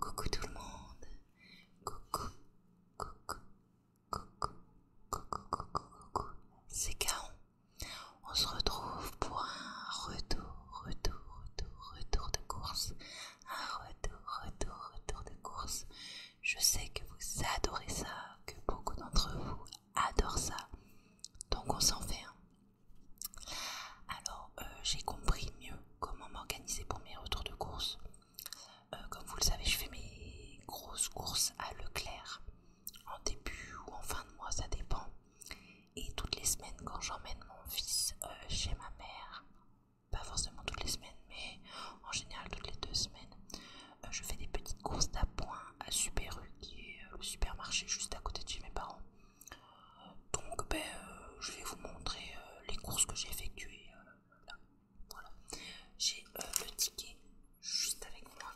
Coucou tout le monde. Coucou. Coucou. Coucou. Coucou. Coucou. Coucou. C'est Caron. On se retrouve pour un retour, retour, retour, retour de course. Un retour, retour, retour de course. Je sais que vous adorez ça, que beaucoup d'entre vous adorent ça. Donc on s'en fait un. Alors euh, j'ai compris mieux comment m'organiser pour mes retours de courses euh, comme vous le savez, je fais mes grosses courses à Leclerc en début ou en fin de mois, ça dépend. Et toutes les semaines, quand j'emmène mon fils euh, chez ma mère, pas forcément toutes les semaines, mais en général toutes les deux semaines, euh, je fais des petites courses d'appoint à Super U, qui est le supermarché juste à côté de chez mes parents. Donc ben, euh, je vais vous montrer euh, les courses que j'ai effectuées. Euh, voilà. J'ai le ticket juste avec moi.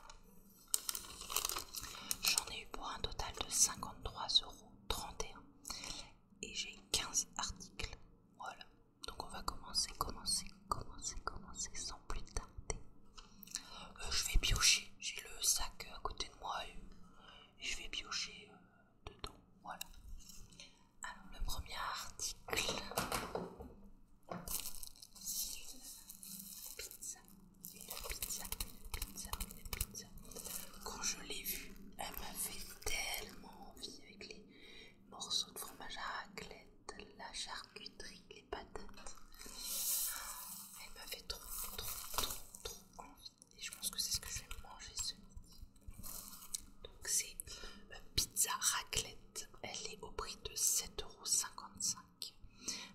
J'en ai eu pour un total de 53,31€. Et j'ai 15 articles. Voilà. Donc on va commencer, commencer, commencer, commencer sans plus tarder. je vais piocher. J'ai le sac à côté de moi et, je vais piocher dedans. Voilà. Alors, le premier article. pizza, pizza, pizza, pizza. Quand je l'ai vue, elle m'a fait tellement envie avec les morceaux de fromage à raclette, la charcuterie, les patates. Elle m'a fait trop, trop, trop, trop envie et je pense que c'est ce que je vais manger ce midi. Donc c'est euh, pizza raclette, elle est au prix de 7,55€,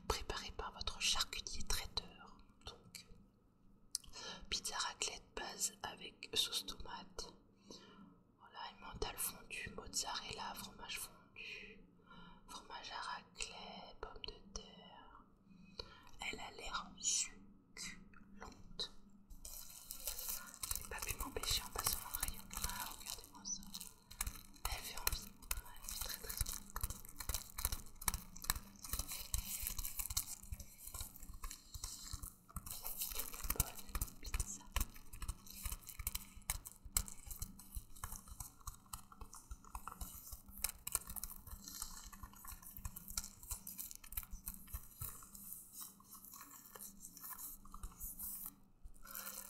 préparée par votre charcutier traiteur. Donc pizza raclette base avec sauce tomate, voilà, mental fondu, mozzarella, fromage fondu, fromage à raclette, pomme de terre. Elle a l'air super je pas pu m'empêcher en passant rayon. Ah, regardez-moi ça. Elle fait envie. Elle fait très très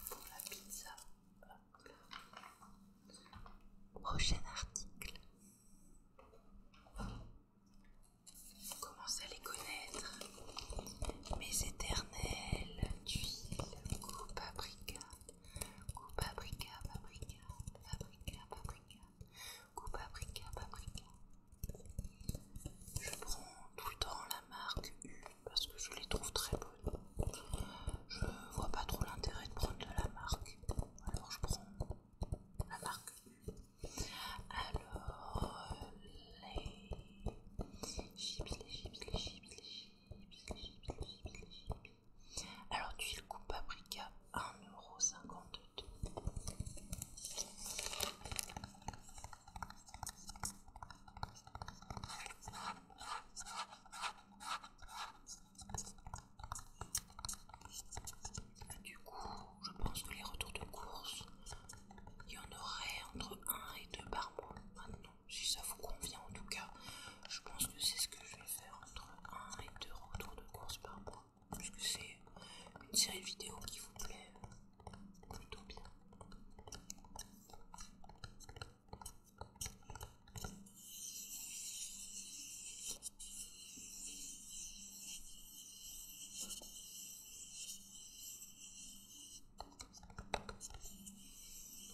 pour la pizza. Prochain article. On commence à les connaître. Mes éternelles tuiles, coupe paprika, coupe paprika, paprika, paprika, paprika, coup paprika paprika. Je prends tout le temps la marque U parce que je les trouve très bonnes. Je vois pas trop l'intérêt de prendre de la marque, alors je prends la marque U. Alors les chips, les chips, les chips, les chips, les chips, les les Alors, le coupe paprika, 1,50€ du coup, je pense que les retours de course, il y en aurait entre 1 et 2 par mois maintenant, si ça vous convient en tout cas. Je pense que c'est ce que je vais faire entre 1 et 2 retours de course par mois parce que c'est une série vidéo qui vous plaît euh, plutôt bien.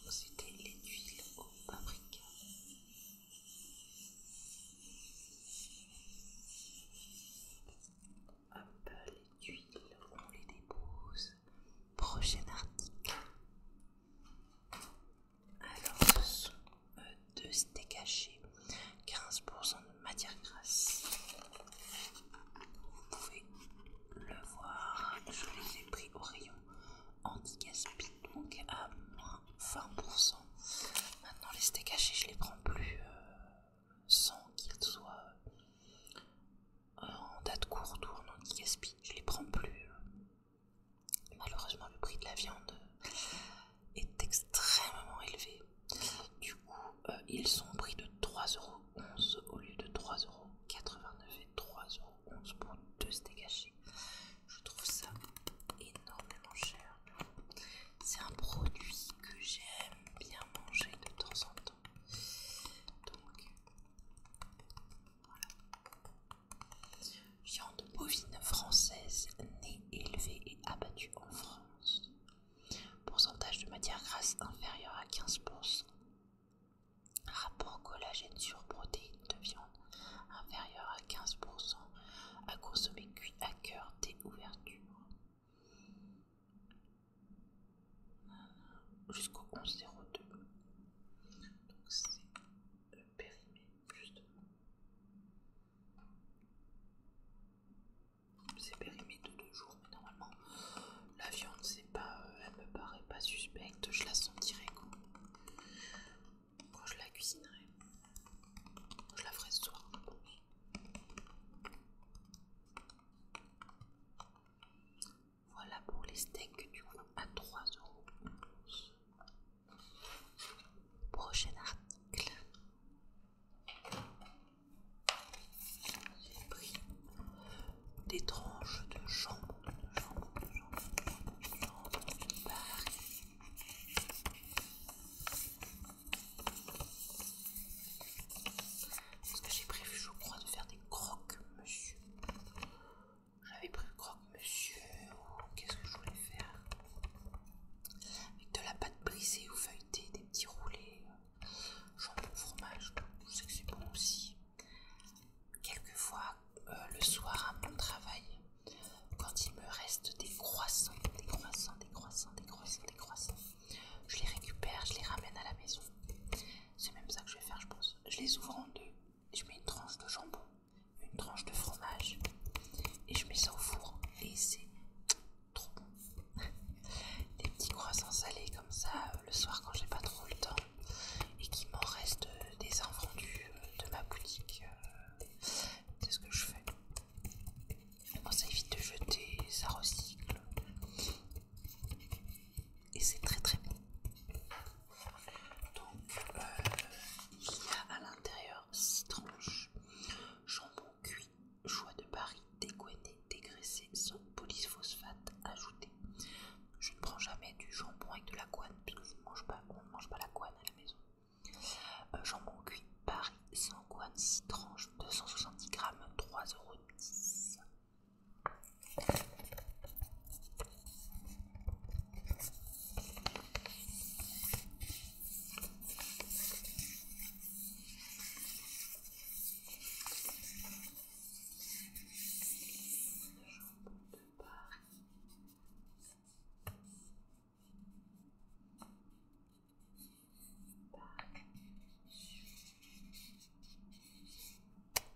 C'était les huiles au paprika. Hop, les tuiles, on les dépose. Prochain article. Alors, ce sont deux caché. 15% de matière grasse. Vous pouvez le voir, je les ai pris au rayon anti-gaspi, donc à moins 20%. Maintenant, les steaks hachés, je les prends plus euh, sans qu'ils soient euh, en date courte ou en anti Je les prends plus. Euh. Malheureusement, le prix de la viande est extrêmement élevé. Du coup, ils sont au prix de 3,11€ au lieu de 3,89€ et 3,11€ pour deux steaks hachés. Je trouve ça énormément cher. C'est un produit que j'aime bien manger de temps en temps. Donc, voilà. Viande bovine française, née, élevée et abattue en France. Pourcentage de matière grasse inférieur à 15%. Rapport collagène sur protéines de viande inférieure à 15% à consommer cuit à cœur dès ouverture. Jusqu'au 11.02. Donc c'est périmé, justement. C'est périmé de deux jours, mais normalement la viande, c'est pas, euh, elle me paraît pas suspecte. Je la sentirais quand je la cuisinerai, je la ferai ce soir. Voilà pour les steaks du coup à euros Prochain article. J'ai pris des tranches de jambes. jambon, jambon, que j'ai prévu, je crois, de faire des croque-monsieur. J'avais prévu croque-monsieur qu'est-ce que je voulais faire Avec de la pâte brisée ou feuilletée, des petits roulés, euh, jambon, fromage, je sais que c'est bon aussi. Quelquefois, euh, le soir à mon travail, quand il me reste des croissants, des croissants, des croissants, des croissants, des croissants, je les récupère, je les ramène à la maison. C'est même ça que je vais faire, je pense. Je les ouvre en deux, je mets une tranche de jambon, une tranche de fromage, et je mets ça au four. Et c'est trop bon. des petits croissants salés comme ça euh, le soir quand j'ai pas trop le temps et qui m'en reste euh, des invendus de ma boutique c'est ce que je fais. ça évite de jeter, ça recycle. Et c'est très très bon. Donc, euh, il y a à l'intérieur 6 tranches. Jambon cuit, choix de Paris, dégoûté, dégraissé, sans polyphosphate ajouté. Je ne prends jamais du jambon avec de la guane, parce je ne mange pas, on ne mange pas la guane à la maison. Euh, jambon cuit Paris 100 guan 6 tranches 270 grammes 3,10€.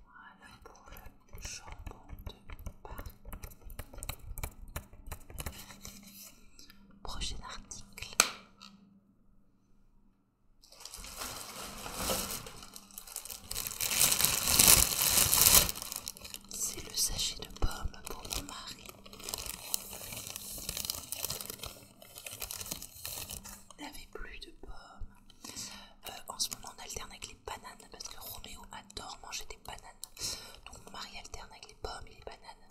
Voilà pour le jambon de Paris. Prochain article. C'est le sachet de pommes pour mon mari. Il n'avait plus de pommes. Euh, en ce moment, on alterne avec les bananes parce que Roméo adore manger des bananes. Donc mon mari alterne avec les pommes et les bananes.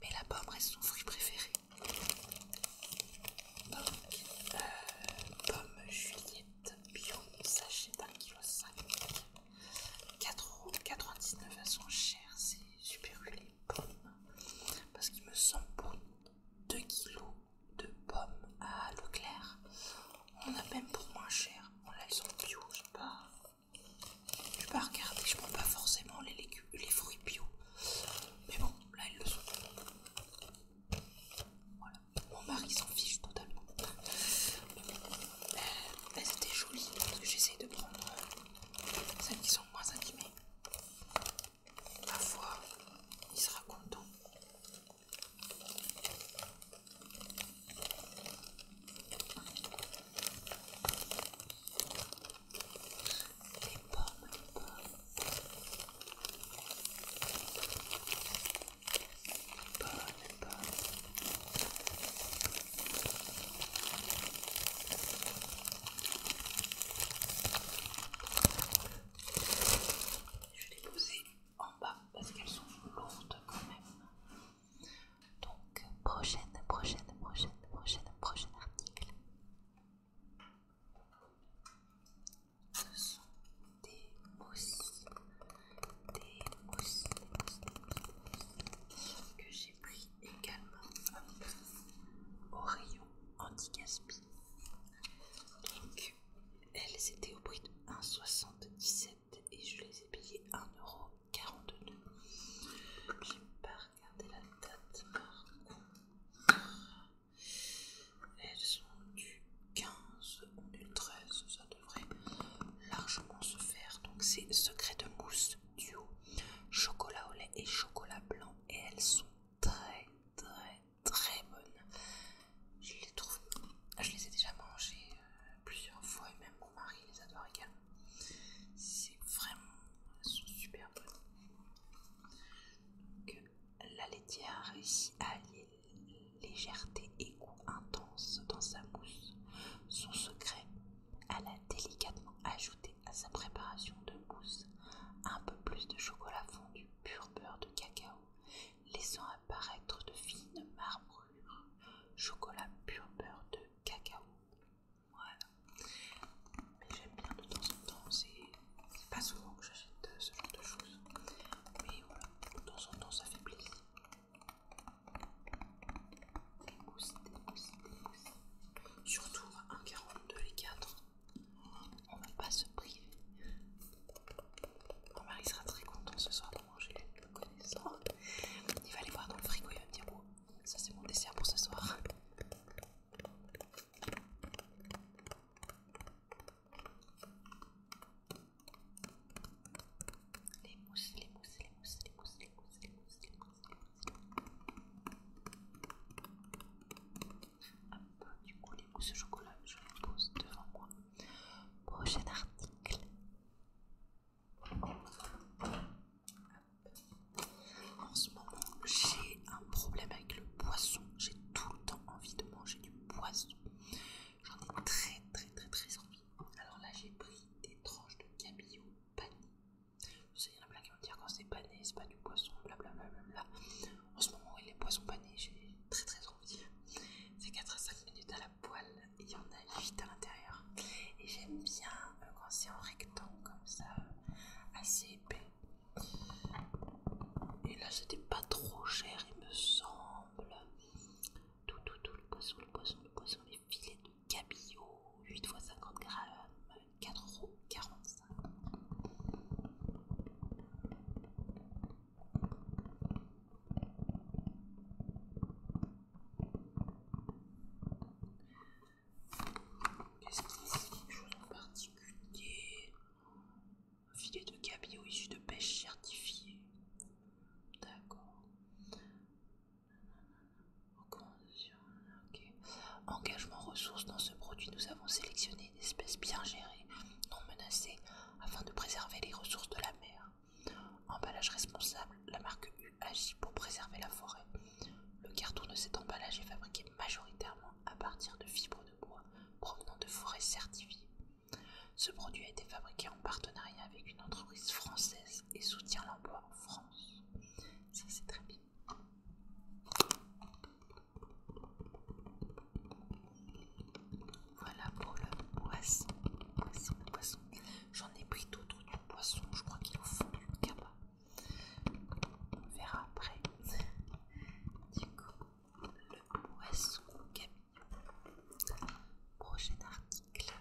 Mais la pomme reste son fruit préféré. Donc, euh, pomme Juliette bio, sachet d'un kilo 5. 4,99€ elles sont chères, c'est super les pommes. Parce qu'il me semble pour 2 kg de pommes à Leclerc, on a même pour moins cher. Bon là elles sont bio, je sais pas. Je vais pas regarder, je prends pas forcément les légumes, les fruits bio. Mais bon, là elles le sont. Voilà. Mon mari s'en fiche totalement. Elles bah, étaient jolies, donc j'essaie de prendre euh, celles qui sont moins abîmées. Parfois, il sera content. Les pommes, les pommes. Je vais les poser en bas parce qu'elles sont lourdes quand même. Donc, prochaine, prochaine, prochaine, prochaine, prochaine article. Ce sont des mousses des aussi que j'ai pris également au rayon anti-gaspi. Donc elles étaient au prix de 1,77€ et je les ai payées 1,42€. J'ai pas regardé la date par contre. Elles sont du 15 ou du 13, devrait largement se faire. Donc c'est secret de mousse duo chocolat au lait et chocolat blanc et elles sont très très très bonnes. Je les trouve, ah, je les ai déjà mangées euh, plusieurs fois et même mon mari les adore également. C'est vraiment, super bonnes. Donc, euh, la laitière a réussi à allier légèreté et goût intense dans sa mousse. Son secret, elle a délicatement ajouté à sa préparation de mousse un peu plus de chocolat fondu, pur beurre de cacao, laissant apparaître de fines marbrures. Chocolat pur beurre de cacao. Voilà. Mais j'aime bien de temps en temps, c'est pas souvent que j'achète euh, ce genre de choses. Mais voilà, de temps en temps ça fait plaisir. Surtout à 1,42 les 4. On va pas se priver. Mon mari sera très content ce soir de manger deux connaissant. Il va aller voir dans le frigo et il me dire bon, oh, ça c'est mon dessert pour ce soir. Les mousses, les mousses, les mousses, les mousses, les mousses, les mousses, les mousses, les mousses. Hop, du coup, les mousses chocolat, je les pose devant moi. Prochain article. En ce moment, j'ai un problème avec le poisson. J'ai tout le temps envie de manger du poisson. J'en ai très très très très envie. Alors là j'ai pris des tranches de cabillaud pané. Vous savez, il y en a plein qui vont dire quand c'est pané, c'est pas du poisson, blablabla. En ce moment, les poissons panés, j'ai très très envie. C'est 4 à 5 minutes à la poêle il y en a 8 à l'intérieur. Et j'aime bien euh, quand c'est en rectangle comme ça, euh, assez épais. Et là, c'était pas trop cher, il me semble tout, tout, tout, le poisson, le poisson, le poisson, les filets de cabillaud, 8 x 50 grammes, 4,45 euros. Qu'est-ce qu'il y a chose en particulier filet de cabillaud issu de pêche certifiée. D'accord. Engagement ressources dans ce produit, nous avons sélectionné une espèce bien gérée, non menacée, afin de préserver les ressources de la mer. Emballage responsable, la marque U agit pour préserver la forêt. Le carton de cet emballage est fabriqué majoritairement à partir de fibres de bois provenant de forêts certifiées. Ce produit a été fabriqué en partenariat avec une entreprise française et soutient l'emploi en France. Ça c'est très bien. Voilà pour le poisson. J'en ai pris d'autres du poisson. Je crois qu'il est au fond du cabas. On verra après. Du coup, le poisson Prochain d'article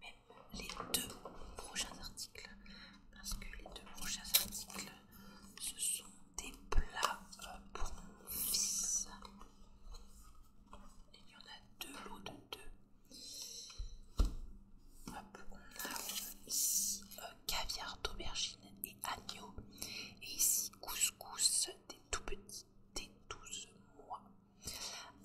Même les deux prochains articles. Parce que les deux prochains articles, ce sont des plats euh, pour mon fils. Il y en a deux lots de deux. Hop, on ici euh, caviar d'aubergine et agneau, et ici couscous des tout petits, des 12 mois.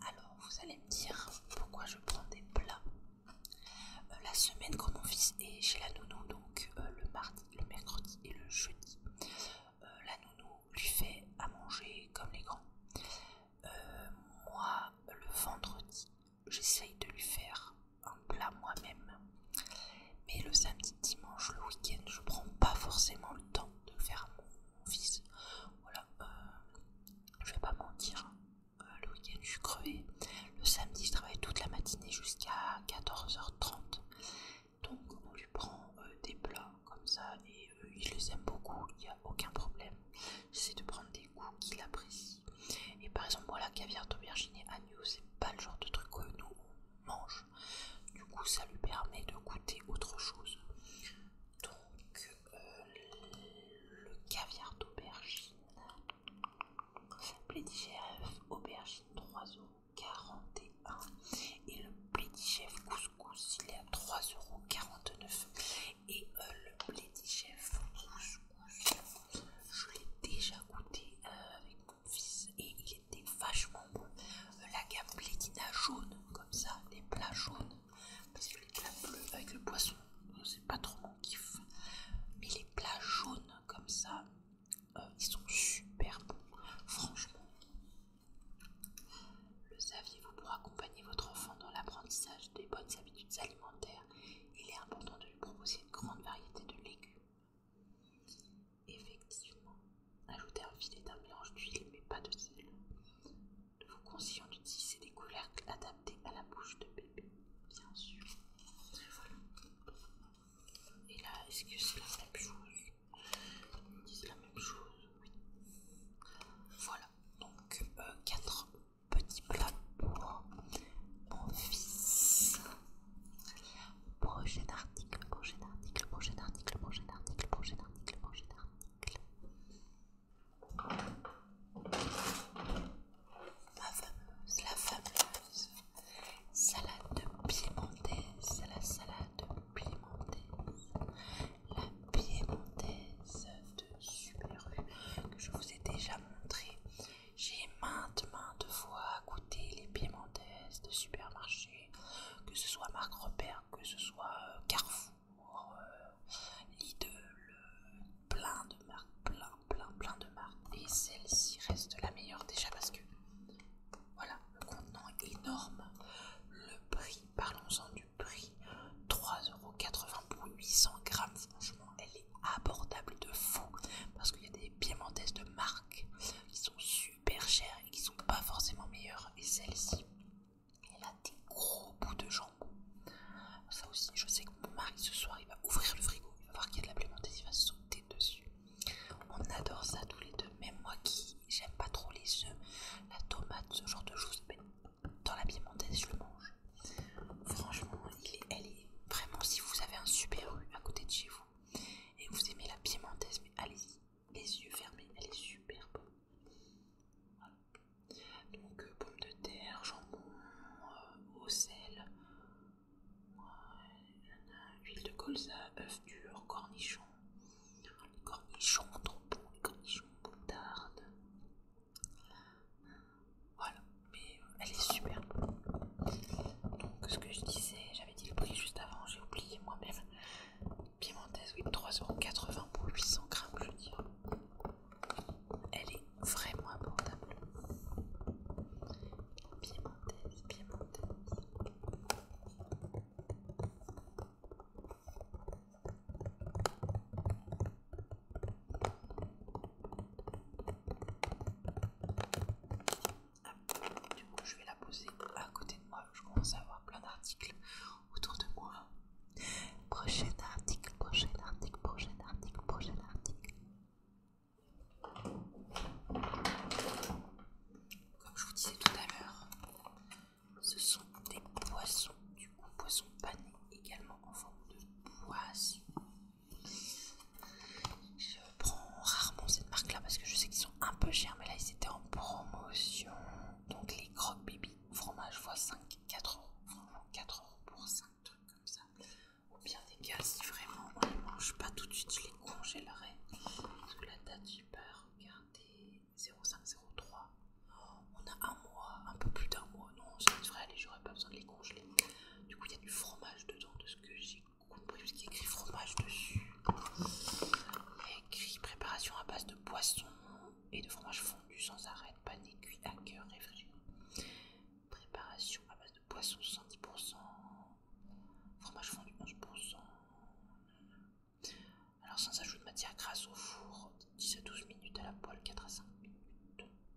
Alors vous allez me dire pourquoi je prends des plats. Euh, la semaine quand mon fils est chez la nounou, donc euh, le mardi, le mercredi et le jeudi, euh, la nounou lui fait à manger comme les grands. moi, le vendredi, j'essaye de lui faire un plat moi-même. Mais le samedi, dimanche, le week-end, je prends pas forcément le temps de faire mon, fils. Voilà, euh, je vais pas mentir. Hein. Euh, le week-end, je suis crevée. Le samedi, je travaille toute la matinée jusqu'à 14h30. Donc, on lui prend euh, des plats comme ça et il les aime beaucoup, il n'y a aucun problème. C'est de prendre des goûts qu'il apprécie. Et par exemple, la caviar d'aubergine et agneau, c'est pas le genre de truc que nous mange. Du coup, ça lui permet de goûter autre chose. Donc, euh, le caviar d'aubergine, chef aubergine 3,41€ et le chef couscous, il est à 3,49€ et euh, le chef couscous, je l'ai déjà goûté euh, avec avec et il était vachement bon. Euh, la gamme blédina jaune, comme ça, les plats jaunes, parce que les plats bleus avec le poisson, c'est pas trop mon kiff. Mais les plats jaunes, comme ça, euh, ils sont super bons, franchement. Le saviez-vous pour accompagner votre enfant dans l'apprentissage des bonnes habitudes alimentaires il est important de lui proposer une grande variété de légumes Effectivement, ajoutez un filet d'un mélange d'huile mais pas de sel. Nous vous conseillons d'utiliser des couleurs adaptées à la bouche de bébé, bien sûr. Et là, est-ce que c'est la même chose disent la même chose, oui. Voilà, donc euh, quatre 4 petits plats pour mon fils. Projet d'article, projet d'article, projet d'article, projet d'article, projet d'article, projet d'article. fameuse, la fameuse salade piémontaise, la salade piémontaise, la piémontaise de Super que je vous ai déjà montré. J'ai maintes, maintes fois goûté les piémontaises de supermarché, que ce soit Marc Repère, que ce soit euh, Carrefour, euh, Lidl, euh, plein de marques, plein, plein, plein de marques. Et celle-ci reste la meilleure déjà parce que, voilà, le contenant énorme. Le prix, parlons-en du prix, 3,80€ pour 800 grammes, franchement, elle est abordable de fou parce qu'il y a des piémontaises de marque qui sont super chères et qui sont pas forcément meilleures et celle-ci elle a des gros bouts de jambon ça aussi je sais que mon mari ce soir il va ouvrir le frigo il va voir qu'il y a de la piémontaise il va sauter dessus on adore ça tous les deux même moi qui j'aime pas trop les œufs la tomate ce genre de choses mais dans la piémontaise je le mange franchement il elle est vraiment, si vous avez un super rue à côté de chez vous et vous aimez la piémontaise, mais allez-y, les yeux fermés, elle est super bonne. Donc, euh, pomme pommes de terre, jambon, euh, au sel, huile de colza, œuf dur, cornichon, cornichon, les cornichons boutarde voilà, mais euh, elle est superbe. Donc, ce que je disais, j'avais dit le prix juste avant, j'ai oublié moi-même. Piémontaise, oui, 3,80€ pour 800 grammes, je veux dire. Elle est vraiment abordable. Piémontaise, piémontaise. Du coup, je vais la poser à côté de moi. Je commence à avoir plein d'articles autour de moi. Prochain article, prochain article, prochain article, prochain article. Comme je vous disais tout à l'heure, ce sont des poissons, du coup poissons panés également en forme de poisson. Je prends rarement cette marque là parce que je sais qu'ils sont un peu chers, mais là ils étaient en promotion. Donc les croque baby fromage x5, 4 euros, franchement 4 euros pour 5 trucs comme ça. Ou bien des gars, si vraiment on ne mange pas tout de suite, je les Parce que la date, j'ai peur, regardez, 0503. On a un mois, un peu plus d'un mois. Non, ça devrait j'aurais pas besoin de les congeler. Du coup, il y a du fromage dedans, que j'ai compris, parce qu'il écrit fromage dessus. Il y a écrit préparation à base de poisson et de fromage fondu sans arrêt, pané, cuit à cœur, réfrigéré. Préparation à base de poisson 110%, fromage fondu 11%. Alors sans ajout de matière grasse au four, 10 à 12 minutes à la poêle, 4 à 5 minutes.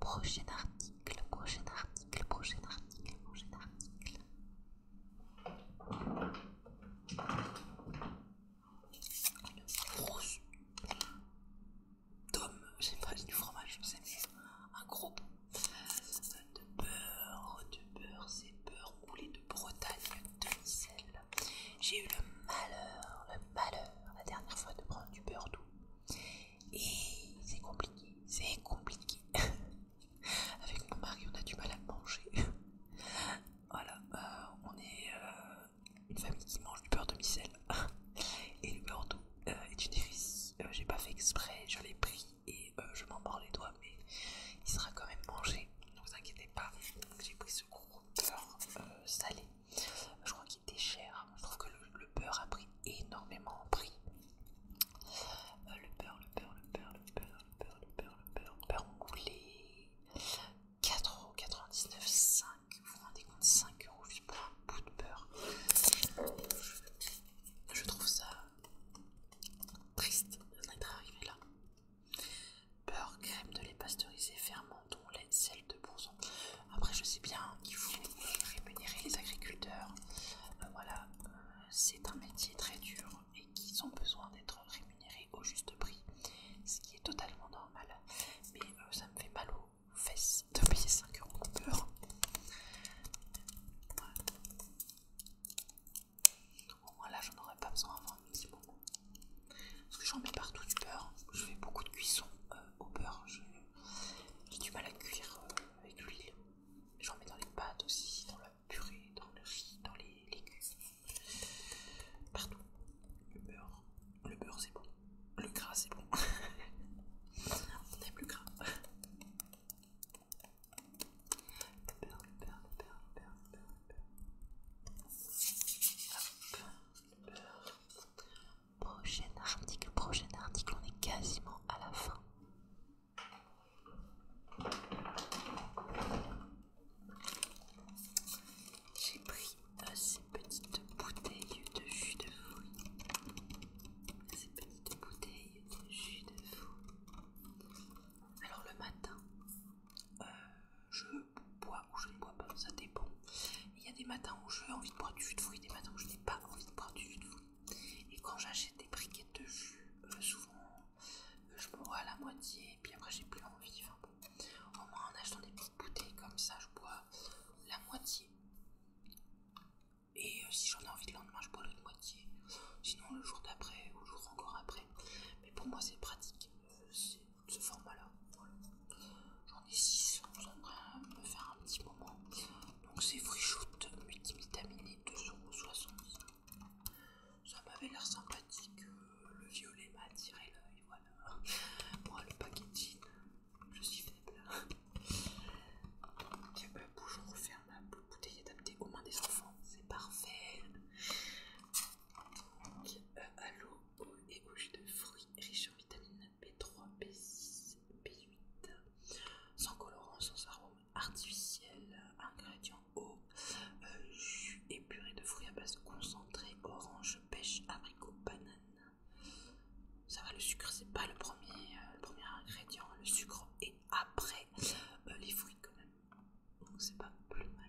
Prochain article, prochain article, prochain article, prochain article. Une grosse tome, j'ai pas du fromage, je sais, un gros de beurre, de beurre, c'est beurre roulé de Bretagne, de sel j'ai eu le malheur, le malheur la dernière fois de prendre du beurre doux. Et c'est compliqué, c'est compliqué. Avec mon mari, on a du mal à manger. voilà, euh, on est euh, une famille qui mange du beurre de micelle. et le beurre doux euh, est une J'ai pas fait exprès, je l'ai pris et je m'en les doigts, mais il sera quand même mangé. Ne vous inquiétez pas. J'ai pris ce gros beurre salé. Je était cher. Je trouve que le, beurre a pris énormément en prix. Euh, le beurre, le beurre, le beurre, le beurre, le beurre, le beurre, le beurre, le beurre moulé. 4,99€, 5, vous vous rendez compte, 5€ pour un bout de beurre. Je trouve ça triste d'être arrivé là. Beurre, crème de lait pasteurisé, ferme menton, celle de 2%. Après, je sais bien, qu'il faut rémunérer les agriculteurs. Euh, voilà, euh, c'est un métier très dur et qu'ils ont besoin d'être rémunérés au juste prix, ce qui est totalement normal. Mais euh, ça me fait mal aux fesses de payer 5 euros je Au moins là, j'en aurais pas besoin avant un petit moment. Parce que j'en mets partout du beurre. Je fais beaucoup de cuisson euh, au beurre. J'ai du mal à cuire euh, avec l'huile. J'en mets dans les pâtes aussi, dans la purée, dans le riz, dans les légumes. Partout. Le beurre. Le beurre c'est bon. Le gras c'est bon. On aime plus gras. beurre, beurre, beurre, beurre, beurre. Prochain article, prochain article, on est quasiment à la fin. J'ai pris euh, ces petites bouteilles de jus de fruits. Ces petites bouteilles de jus de fruits. Alors le matin, euh, je bois ou je ne bois pas, bah, ça dépend. Il y a des matins où j'ai envie de boire du jus de fruits, des matins où je n'ai pas envie de boire du jus de fruits. Et quand j'achète des briquettes de jus, euh, souvent euh, je bois à la moitié et puis après j'ai plus envie. Au moins en achetant des petites bouteilles comme ça, je bois la moitié. Et euh, si j'en ai envie le lendemain, je bois l'autre moitié. Sinon le jour d'après ou le jour encore après. Mais pour moi c'est pratique ce format-là. J'en ai 6, on va peut faire un petit moment. Donc c'est Freeshoot, multimitaminé, multivitaminé 2,60. Ça m'avait l'air sympathique, euh, le violet m'a attiré l'œil, voilà. Moi le packaging, je suis faible. Donc la bouche, on referme bouteille adaptée aux mains des enfants, c'est parfait. Donc, euh, et aux de fruits riche en vitamine B3, B6, B8, sans colorant, sans arôme artificiel, ingrédients eau, euh, jus et purée de fruits à base concentrée, orange, pêche, abricot, banane. Ça va, le sucre, c'est pas le premier, euh, ingrédient, le sucre est après euh, les fruits quand même. Donc c'est pas plus mal.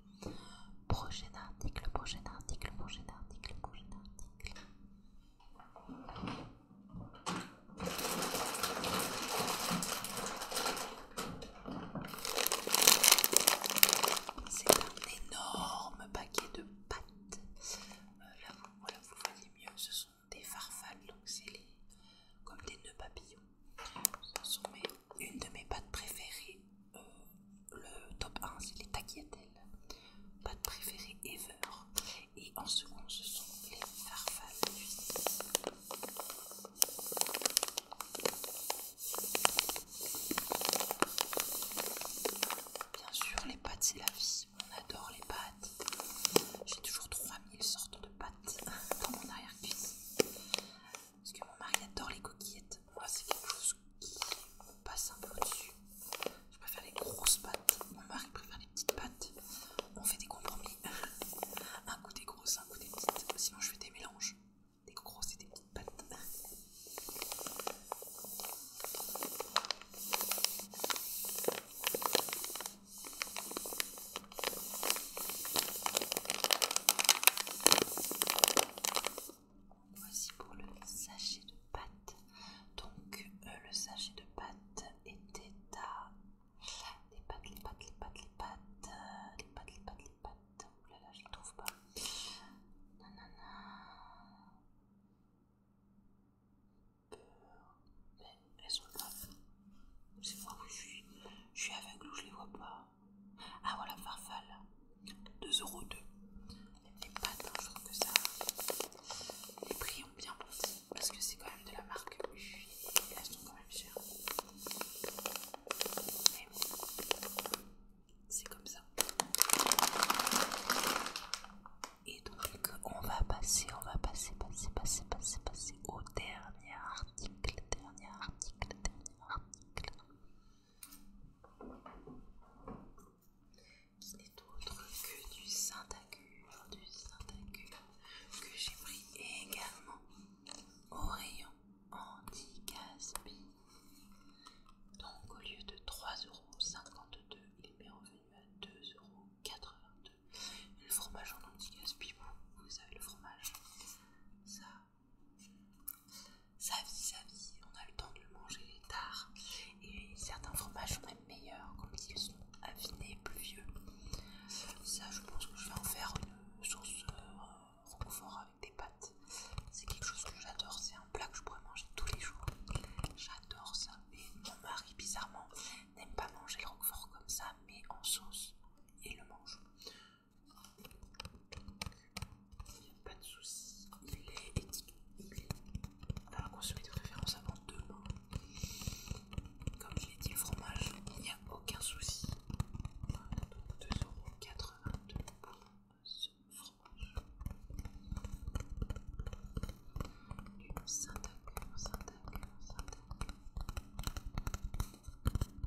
Prochain article, prochain article, prochain article, prochain article. C'est un énorme paquet de pâtes. Euh, là, vous, voilà, vous voyez mieux, ce sont des farfales, donc c'est les, comme des nœuds papillons. Ce sont une de mes pâtes préférées le top 1 c'est les tagliatelles, pâte préférée ever, et en second ce sont les farfales Bien sûr, les pâtes c'est la vie, on adore les pâtes. J'ai toujours 3000 sortes de pâtes dans mon arrière-cuisine. Parce que mon mari adore les coquillettes, moi c'est quelque chose qui passe un peu au-dessus. Je préfère les grosses pattes, mon mari préfère les petites pattes. On fait des compromis. un coup des grosses, un coup des petites. Sinon je fais des mélanges. Des grosses et des petites pattes voici pour le sachet de pâte. Donc, euh, le sachet de pâte était à. Les pâtes, les pâtes, les pâtes, les pâtes, les pâtes, les pâtes, les pâtes. là je ne trouve pas. Nanana. Mais elles sont là. C'est moi, je suis, je suis aveugle ou je les vois pas. Ah voilà, farfalle. 2,02€. Les pas pas que ça. Les prix ont bien monté parce que c'est quand même de la marque U elles sont quand même chères. Mais bon, c'est comme ça. Et donc, on va passer, on va passer, passer, passer, passer, passer au dernier article, dernier article, dernier article qui n'est autre que du saint du saint que j'ai pris également au rayon anti-gaspi. Donc au lieu de 3,52€, il m'est revenu à 2,82€. Le fromage en anti-gaspi, vous, savez le fromage, ça ça, vie, sa vie, on a le temps de le manger tard. Et certains fromages sont même meilleurs comme s'ils sont affinés, plus vieux. Ça, je pense que je vais en faire une sauce euh, roquefort avec des pâtes. C'est quelque chose que j'adore, c'est un plat que je pourrais manger tous les jours. J'adore ça. Et mon mari, bizarrement, n'aime pas manger le roquefort comme ça, mais en sauce, il le mange il n'y a pas de souci. Il est étiqueté. Alors, consommer de préférence avant demain. Comme je l'ai dit, le fromage, il n'y a aucun souci. Donc 2,82€ pour ce fromage.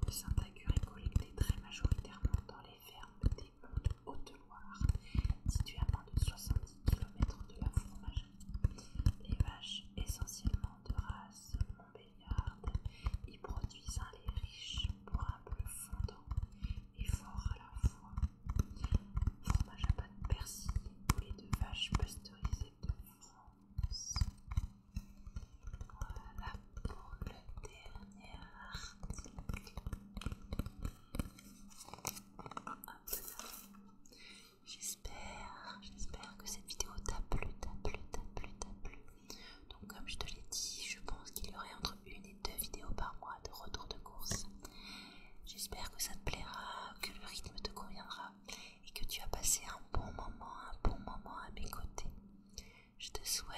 Le saint est collecté très majoritairement dans les fermes des de Haute-Loire, située à moins de 70 km de la fromagerie. Les vaches, essentiellement de race montbéliarde, y produisent un lait riche pour bleu fondant et fort à la fois. Fromage à pâte persil, et de vache pasteurisé de France. Voilà pour le dernier article. J'espère, j'espère que cette vidéo t'a plu, t'a plu, t'a plu, t'a plu. Donc comme je te l'ai dit, je pense qu'il y aurait entre une et deux vidéos par mois de retour de course. J'espère que ça te plaira, que le rythme te conviendra et que tu as passé un bon moment, un bon moment à mes côtés. Je te souhaite